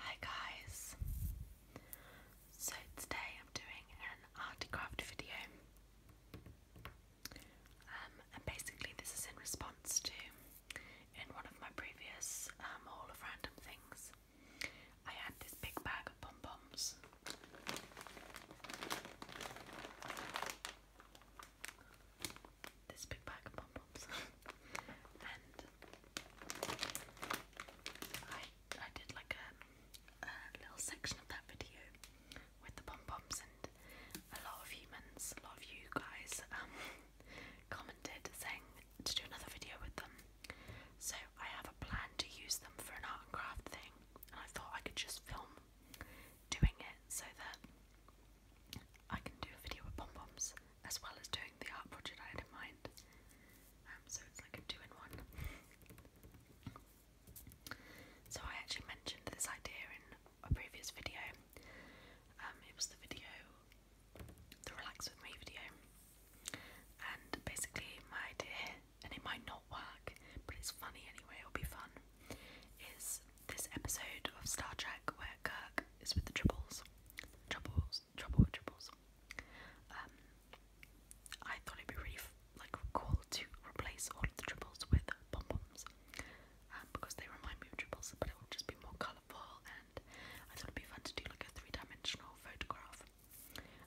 Hi guys! So today I'm doing an art craft video um, and basically this is in response to in one of my previous haul um, of random things I had this big bag of pom-poms this big bag of pom poms, and I I did like a, little section of that video with the pom poms, and a lot of humans, a lot of you guys, um, commented saying to do another video with them. So I have a plan to use them for an art and craft thing, and I thought I could just film doing it so that I can do a video with pom poms as well as doing the art project I had in mind. Um, so it's like a two in one. so I actually mentioned this idea in a previous video. Um, it was the video, the Relax With Me video. And basically, my idea, and it might not work, but it's funny anyway, it'll be fun, is this episode of Star Trek where Kirk is with the triples. Triples, trouble triples. Um, I thought it'd be really like cool to replace all of the triples with pom poms um, because they remind me of triples, but it would just be more colourful. And I thought it'd be fun to do like a three-dimensional photograph.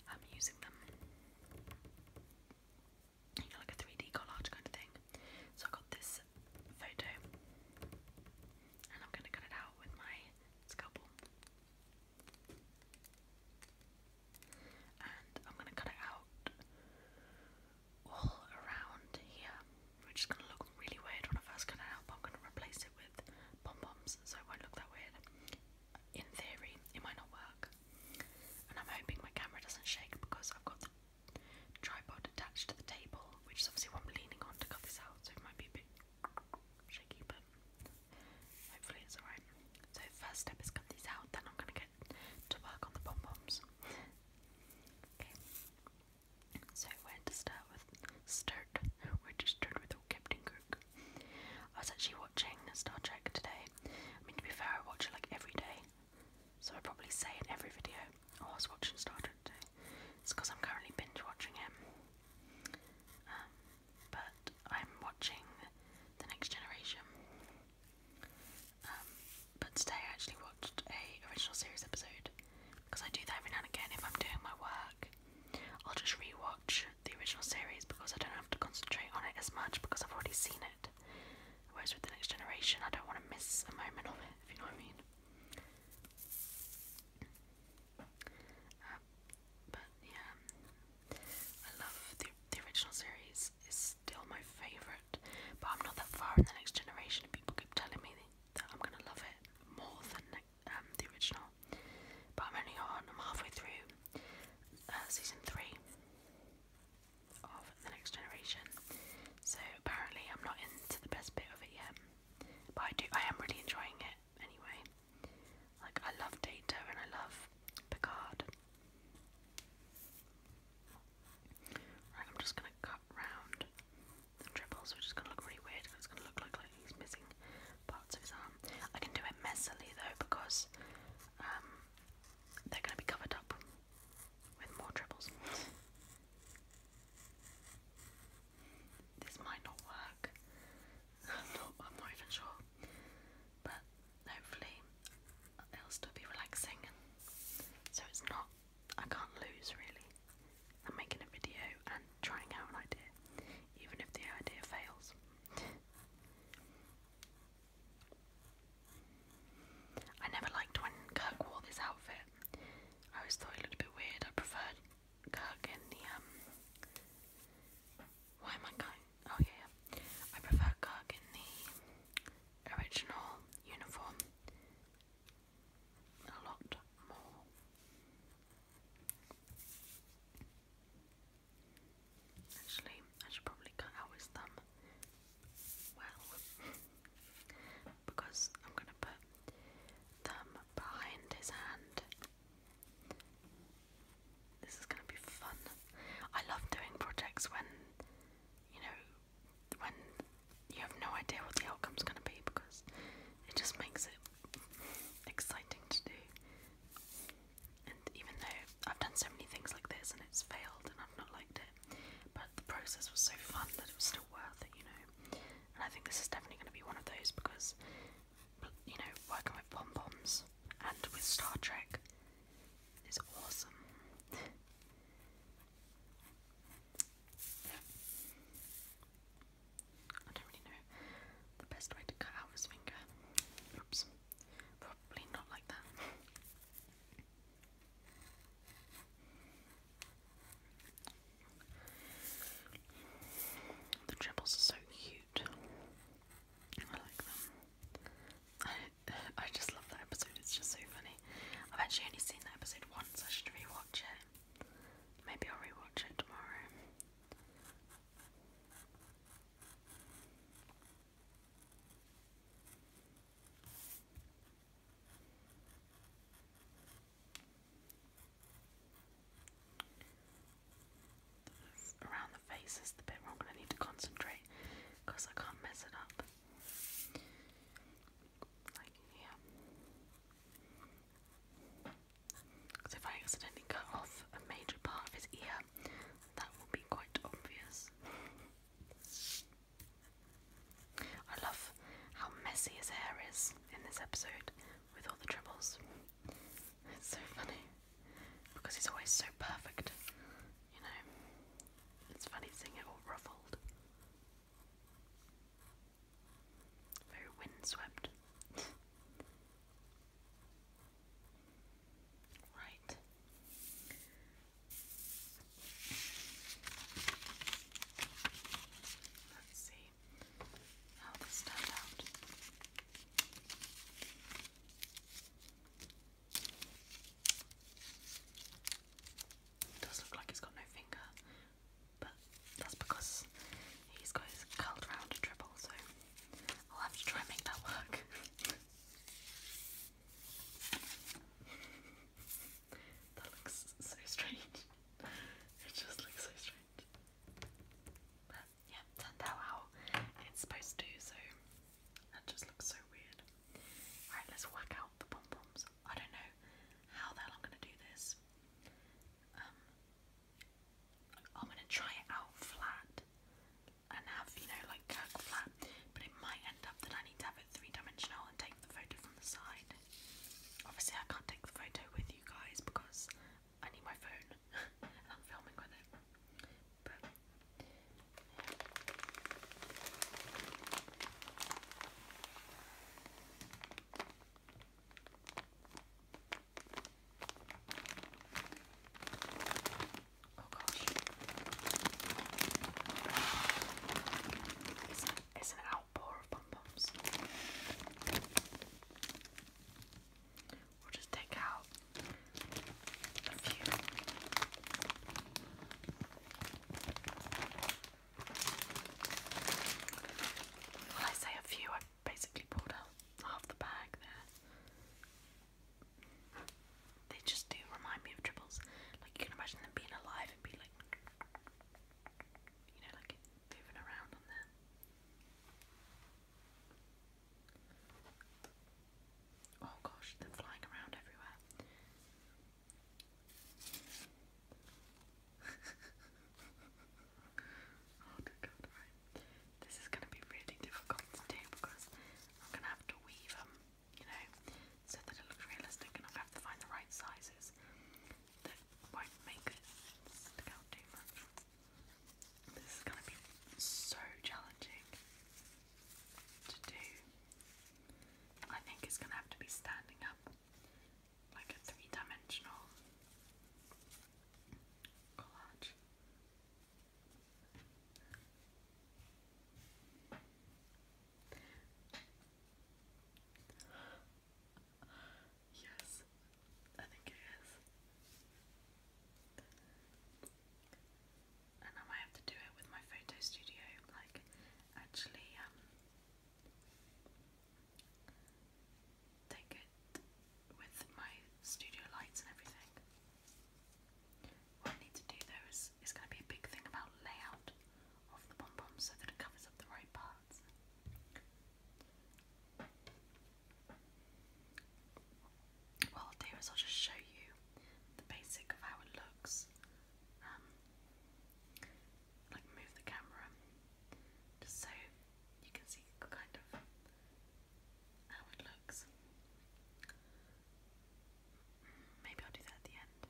I'm um, using them, like a 3D collage kind of thing. So I got this photo and I'm going to cut it out with my scalpel. And I'm going to cut it out all around here, which is going to look really weird when I first cut it out, but I'm going to replace it with pom poms so it won't look that weird. In theory, it might not work. And I'm hoping my camera doesn't shake because I've got the tripod attached to the table which is obviously what I'm leaning on to cut this out, so it might be a bit shaky, but hopefully it's alright. So first step is cut these out, then I'm gonna get to work on the pom poms. okay. So where to start with? Start. Where just start with old Captain Cook. I was actually watching Star Trek today. I mean, to be fair, I watch it like every day, so I probably say in every video. Oh, I was watching Star Trek today. It's because I'm currently binge watching him. Um, but I'm watching The Next Generation. Um, but today I actually watched a original series episode because I do that every now and again if I'm doing my work. I'll just rewatch the original series because I don't have to concentrate on it as much because I've already seen it. Whereas with the next generation, I don't want to miss a moment of it, if you know what I mean. Um, but yeah, I love the the original series is still my favorite. But I'm not that far in the next generation, and people keep telling me that I'm gonna love it more than um, the original. But I'm only on I'm halfway through uh, season three of the next generation, so apparently I'm not into the best bit of it yet. But I do I am really enjoying it anyway. Like I love Data and I love Picard. I'm just gonna cut round the dribbles, which is gonna look really weird it's gonna look like, he's missing parts of his arm. I can do it messily though because um, they're gonna be covered up with more dribbles. This might not work. I'm not, even sure. But hopefully it'll still be relaxing. So it's not, I can't lose really. I'm making a video and trying out an idea, even if the idea fails. I never liked when Kirk wore this outfit. I always thought a little bit weird. I preferred Kirk in the um. Why am I going? Oh yeah, yeah. I prefer Kirk in the original uniform a lot more. Actually, I should probably cut out his thumb. Well, because I'm going to put them behind his hand. This is going to be fun. I love doing projects when, you know, when you have no idea what the outcome's going to be because it just makes it exciting to do. And even though I've done so many things like this and it's failed and I've not liked it, but the process was so fun that it was still worth it, you know. And I think this is definitely going to be one of those because, you know, working with pom poms and with Star Trek is awesome. I don't really know the best way to cut out his finger. Oops. Probably not like that. The dribbles are so cute. I like them. I, I just love that episode, it's just so funny. I've actually only seen that episode once, I should rewatch it. Maybe I'll rewatch it tomorrow. That's around the face is the bit where I'm going to need to concentrate because I can't mess it up. Like here. Because if I accidentally cut off a major part of his ear, that will be quite obvious. I love how messy his hair is in this episode with all the troubles. It's so funny because he's always so perfect, you know. It's funny seeing it all ruffled. Very windswept. right. Let's see how this turned out. does look like he's got no finger, but that's because he's got his curled round dribble, so I'll have to try and make that work. That looks so strange. it just looks so strange. But yeah, turned out how it's supposed to, so that just looks so weird. Alright, let's whack out the pom poms. I don't know how the hell I'm gonna do this. Um, I'm gonna try it out flat and have, you know, like Kirk flat but it might end up that I need to have it three dimensional and take the photo from the side. Obviously, I can't take the photo with you guys because I need my phone and I'm filming with it. Oh gosh. It's, an outpour of pom poms. We'll just take out a few. Well, I say a few, I basically pulled out half the bag there. They just do remind me of tribbles. Like you can imagine them being alive and be like, you know, like moving around on them. Oh gosh, they're flying around everywhere. oh dear God, This is going to be really difficult to do because I'm going to have to weave them you know, so that it looks realistic and i have to find the right sizes that won't make it stick too much. This is gonna be so challenging to do. I think it's gonna have to be standing up like a three-dimensional collage yes, I think it is. And I might have to do it with my photo studio, like actually um, take it with my studio lights and everything. What I need to do though is, is going to be a big thing about layout of the pom pom so that it covers up the right parts. What I'll I'll just show you the basic of how it looks. Um, like move the camera just so you can see kind of how it looks. Maybe I'll do that at the end.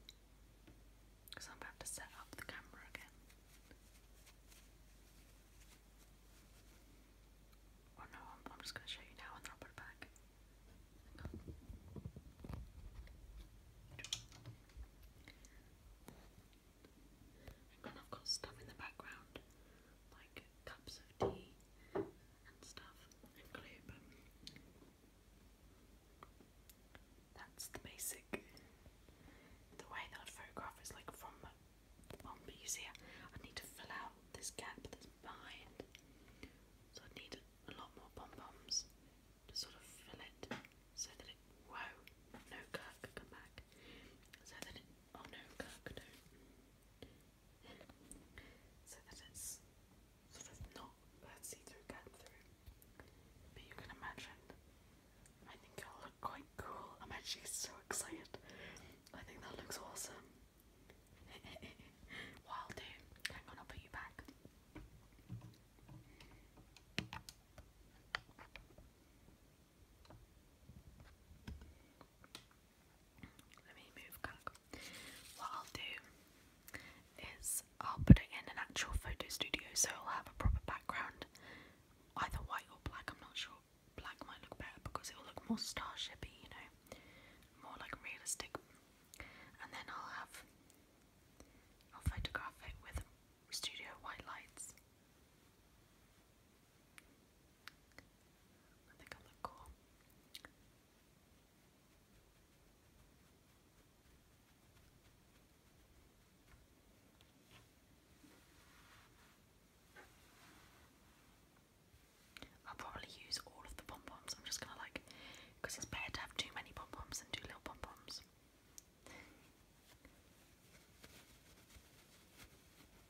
Because I'm about to set up the camera again. Oh no, I'm, just going to show you now and then I'll put it back. I've got stuff in the background, like cups of tea and stuff and glue, that's the basic. The way that I photograph is like from on, I need to fill out this gap that's behind, so I need a lot more pom poms to sort of fill it so that it. Whoa, no Kirk, come back. So that it. Oh no, Kirk, don't so that it's sort of not see-through cut through. But you can imagine. I think it'll look quite cool. I'm actually so excited. I think that looks awesome. what i hang on, I'll put you back. Let me move What I'll do is I'll put it in an actual photo studio so i will have a proper background. Either white or black, I'm not sure. Black might look better because it will look more star you know, more like realistic. And then I'll have I'll with studio white lights. I think I look cool. I'll probably use all of the pom poms. I'm just gonna like, because it's better to have too many pom poms than too little pom poms. They're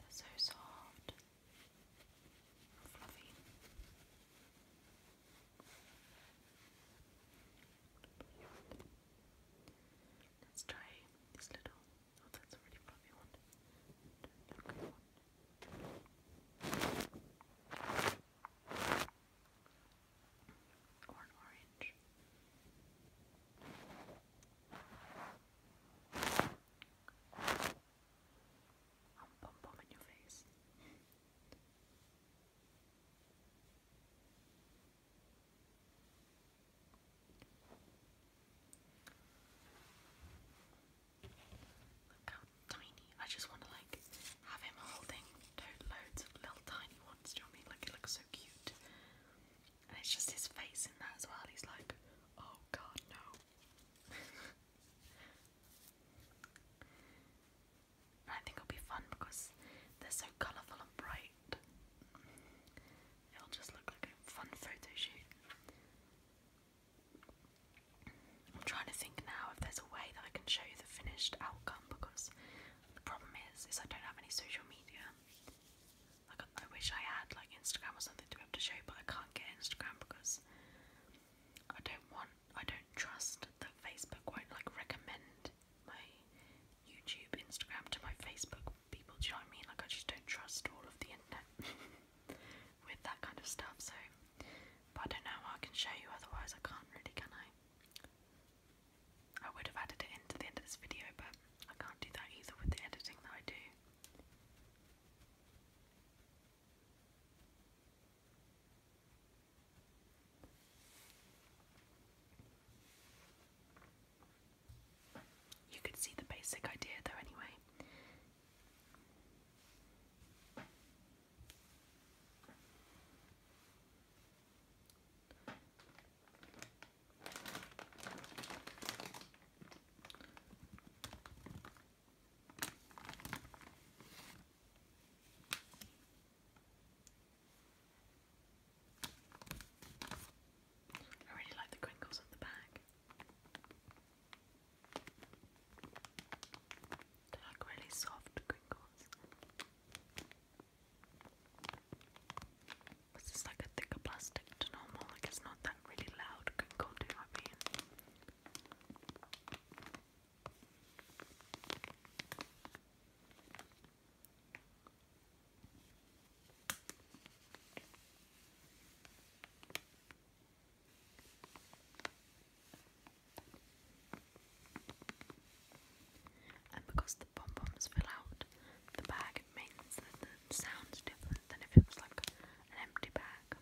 so soft fluffy. Let's try this little. Oh, that's a really fluffy one. orange. I'm bum bum in your face. Look how tiny. I just want to like have him holding loads of little tiny ones. Do you mean? Like it looks so cute. And it's just his face in that as well. He's like, oh god, no. I think it'll be fun because they're so colourful and bright. It'll just look like a fun photo shoot. I'm trying to think now if there's a way that I can show you the finished outcome because the problem is is I don't have any social media. Like I wish I had like Instagram or something to be able to show, but I can't get Instagram because I don't want, I don't trust that Facebook won't like recommend my YouTube, Instagram to my Facebook people. Do I mean? Like I just don't trust all of the internet with that kind of stuff. So, but I don't know I can show you. Otherwise, I can't really, can I? I would have added it into the end of this video, but I can't do that either with the editing that I do. You could see the basic idea though, anyway. I really like the crinkles on the back. They're like really soft crinkles. This is like a thicker plastic normal, like it's not that really loud crinkle, do you know what I mean? And because the pom poms fill out the bag, it means that the sound's different than if it was like an empty bag.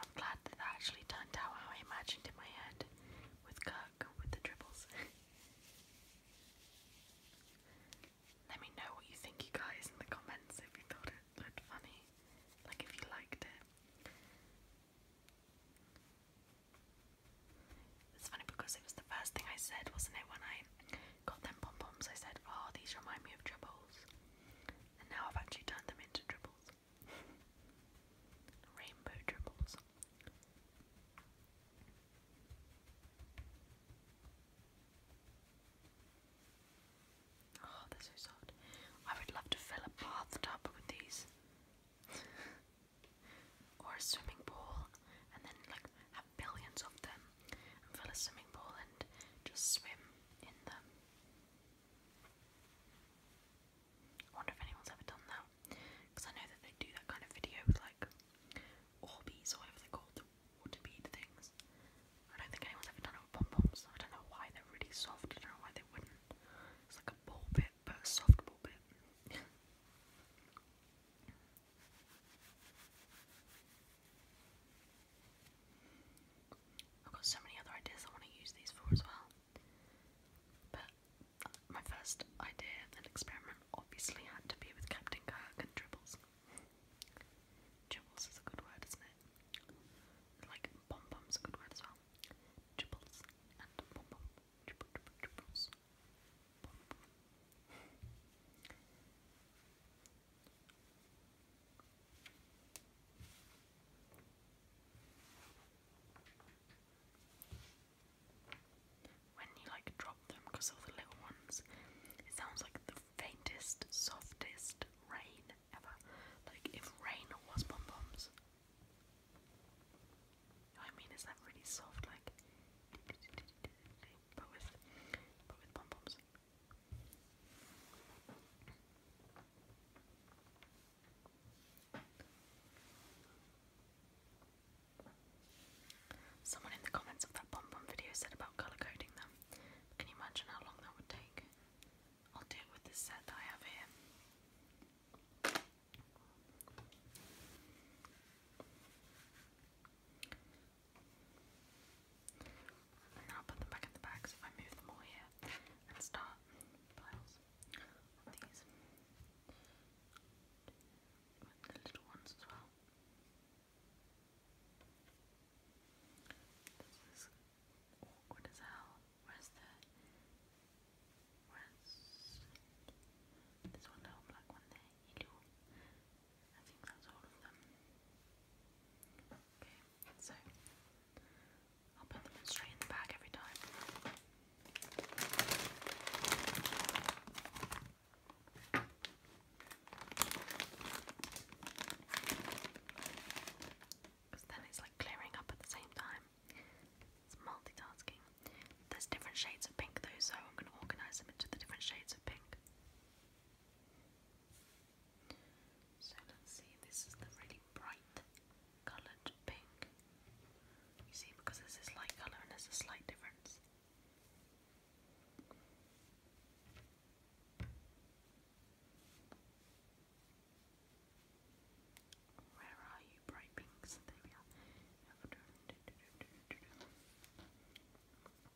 I'm glad that that actually turned out how I imagined in my head with Kirk with the dribbles. Let me know what you think, you guys, in the comments if you thought it looked funny, like if you liked it. It's funny because it was the first thing I said, wasn't it? When I got them pom poms, I said, Oh, these remind me of dribbles now I've actually turned them into dribbles. Rainbow dribbles. Oh, they're so soft. I would love to fill a bathtub with these. or a swimming pool and then like have billions of them fill a swimming pool and just swim in them. I wonder if anyone's ever done that. Because I know that they do that kind of video with like Orbeez or whatever they're the water bead things. I don't think anyone's ever done it with pom poms. I don't know why they're really soft. I don't know why they wouldn't. It's like a ball bit, but a soft ball bit. I've got so many other ideas I want to use these for as well. But uh, my first idea and experiment obviously had to be with Captain Kirk and dribbles. Dribbles is a good word, isn't it? Like pom pom's a good word as well. Dribbles and pom pom. dribbles. When you like drop them, because all the little ones, it sounds like the faintest, softest rain ever. Like if rain was pom poms. I mean, is that really soft? Like, but with, but with pom poms. Someone in the comments of that pom pom video said about colour coding them. Can you imagine how long that would take? I'll do it with this set I have here. And now I'll put them back in the bag, if I move them all here and start these. With the little ones as well. This is awkward as hell. Where's the where's this one little black one there? I think that's all of them. Okay, so I'll put them straight in the bag every time. Because then it's like clearing up at the same time. It's multitasking. There's different shades of pink though, so I'm going to organise them into the different shades of pink. So let's see, this is the really bright coloured pink. You see, because there's this light colour and there's a slight difference. Where are you, bright pinks? There we are. Um,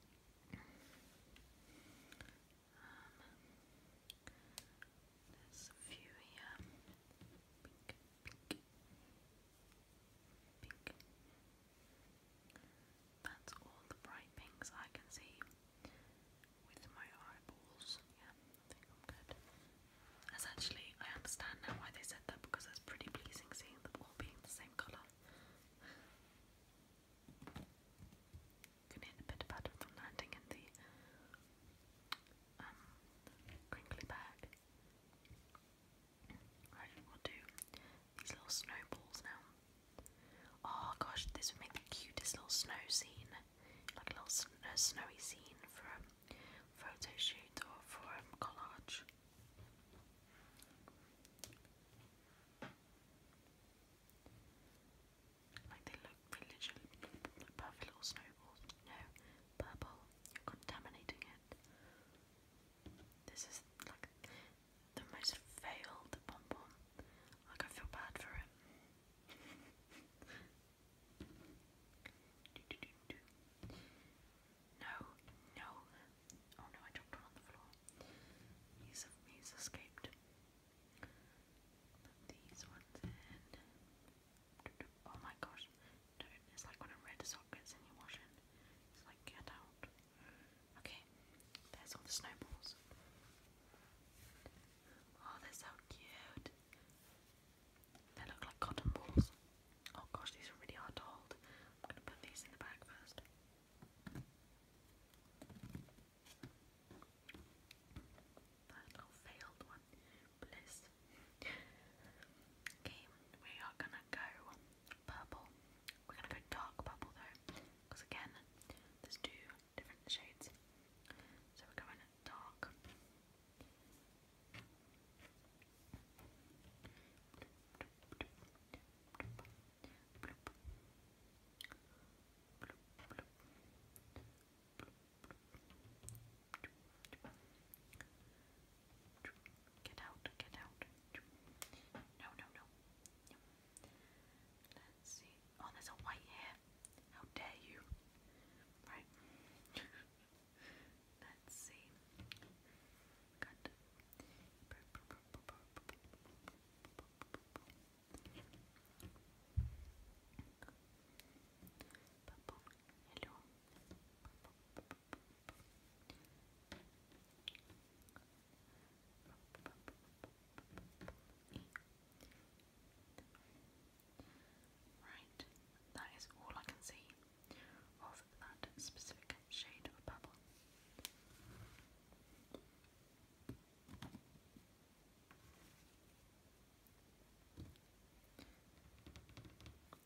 there's a few here. Pink, pink, pink. That's all the bright pinks I can see with my eyeballs. Yeah, I think I'm good. As actually, I understand now why they said that because it's pretty pleasing seeing them all being the same colour. Can hear the bit patter from landing in the um crinkly bag. Right, we'll do these little snowballs now. Oh gosh, this would make the cutest little snow scene, like a little snowy scene for a photo shoot or for a collage. Like they look, they perfect little snowballs. No, purple, you're contaminating it. This is like the most failed pom Like I feel bad for it. No, no, Oh no, I dropped one on the floor. He's, he's escaped. these ones in. Oh my gosh. It's like when a red sock gets in your washing. It's like, get out. Okay, there's all the snowballs. Oh, they're so cute. They look like cotton balls. Oh gosh, these are really hard to hold. I'm gonna put these in the bag first. That failed one. Bliss. Okay, we are gonna go purple. We're gonna go dark purple though, because again, there's two different shades. So we're going dark. Get out, get out. No, no, no. Let's see. Oh, there's a white here. How dare you? Right. Let's see. Purple. Hello. Right, that is all I can see that specific shade of purple.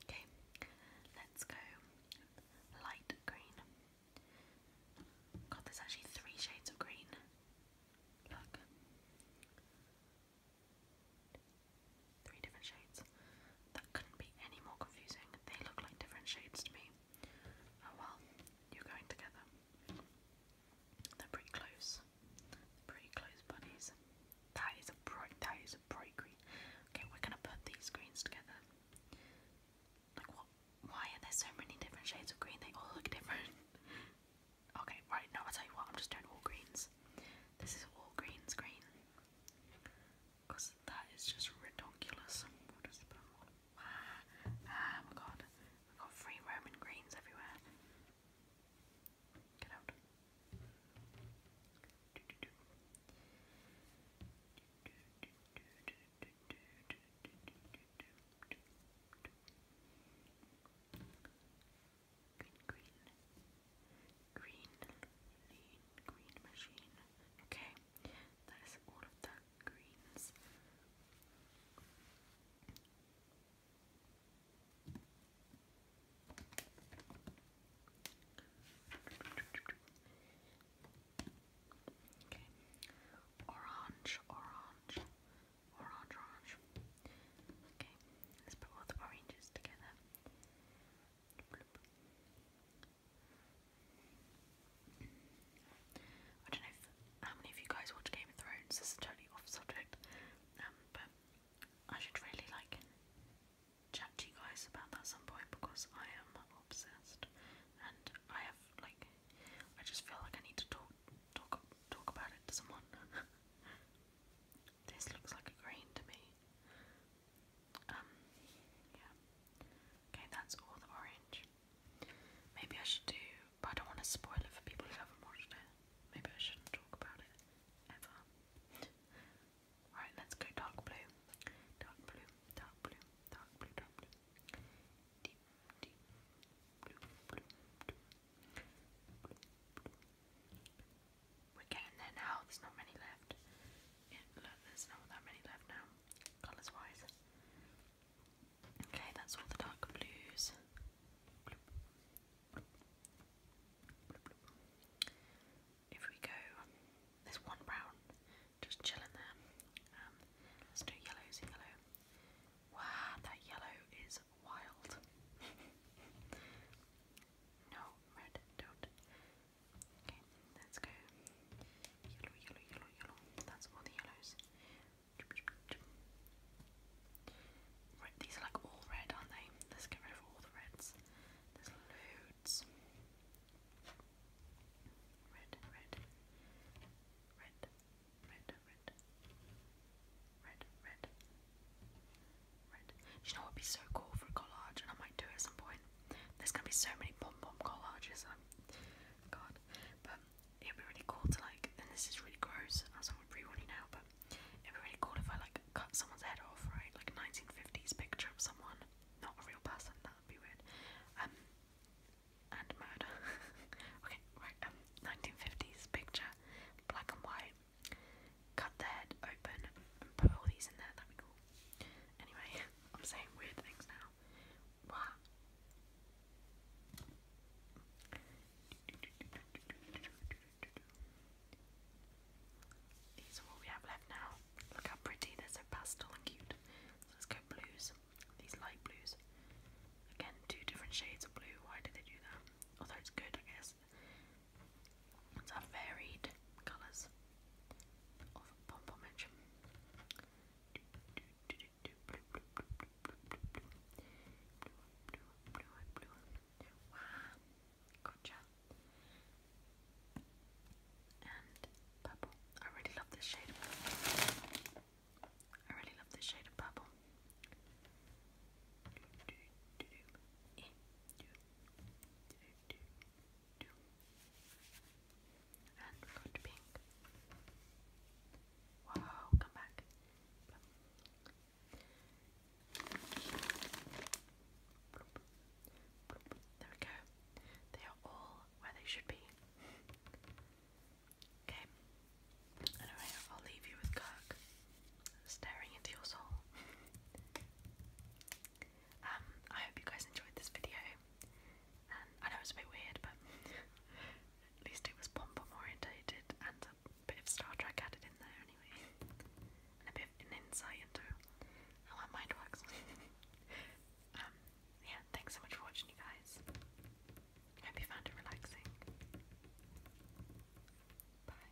Okay, let's go light green. God, there's actually three shades of green. Look. Three different shades. That couldn't be any more confusing. They look like different shades to me. Oh well, you're going together. They're pretty close. pretty close buddies. That is a bright that is a bright green. Okay, we're gonna put these greens together. Like what why are there so many different shades of green? They all look different. okay, right, now i tell you what, I'm just doing all greens. This is all greens green. Because that is just ridiculous. we ah, my god. we got free Roman greens everywhere. Get out. Green, green, green machine. Okay, that is all Okay. Orange, orange, orange, orange. Okay, let's put all the oranges together. I don't know how many of you guys watch Game of Thrones, this is totally off subject, um, but I should really like chat to you guys about that some point because I am obsessed and I have like, I just feel like I need to talk, talk, talk about it to someone. this looks like a green to me. Um, yeah. Okay, that's all the orange. Maybe I should do, but I don't want to spoil it for people who haven't watched it. Maybe I shouldn't talk about it ever. Alright, let's go dark blue. Dark blue, dark blue, dark blue, dark blue. Deep, deep, blue, blue, blue, blue, We're getting there now, there's not many left. Yeah, look, there's not that many left now, colours wise. Okay, that's all the dark blues. If we go, there's one brown just chilling there. Um, let's do yellows and yellow. Wow, that yellow is wild. no, red, don't. Okay, let's go. Yellow, yellow, yellow, yellow. That's all the yellows. Red, these are like all red, aren't they? Let's get rid of all the reds. There's loads. Red, red, red, red, red, red, red, red. Do you know what would be so cool for collage? And I might do at some point. There's gonna be so many pom pom collages. Um, God, but it'd be really cool to like. And this is really gross. I'm someone pre now, but it'd be really cool if I like cut someone's head off, right? Like 1950s picture of someone, not a real person. That'd be weird. Um, and murder. okay, right. 1950s um, picture, black and white. Cut the head open put all these in there. That'd be cool. Anyway, I'm saying weird things now. These are what we have left now. Look how pretty, they're so pastel and cute. let's go blues. These light blues. Again, two different shades of blue. Why did they do that? Although it's good, I guess. It's had varied colours of pom pomage. Wow, gotcha. And purple. I really love this shade of purple. I really love this shade of purple two. And we're to pink. Wow, come back. There we go. They are all where they should be. Okay. Anyway, I'll leave you with Kirk staring into your soul. Um, I hope you guys enjoyed this video. And I know it was a bit weird, but at least it was pom pom oriented and a bit of Star Trek added in there anyway, and a bit of an insight into how my mind works. um, yeah, thanks so much for watching, you guys. Hope you found it relaxing. Bye.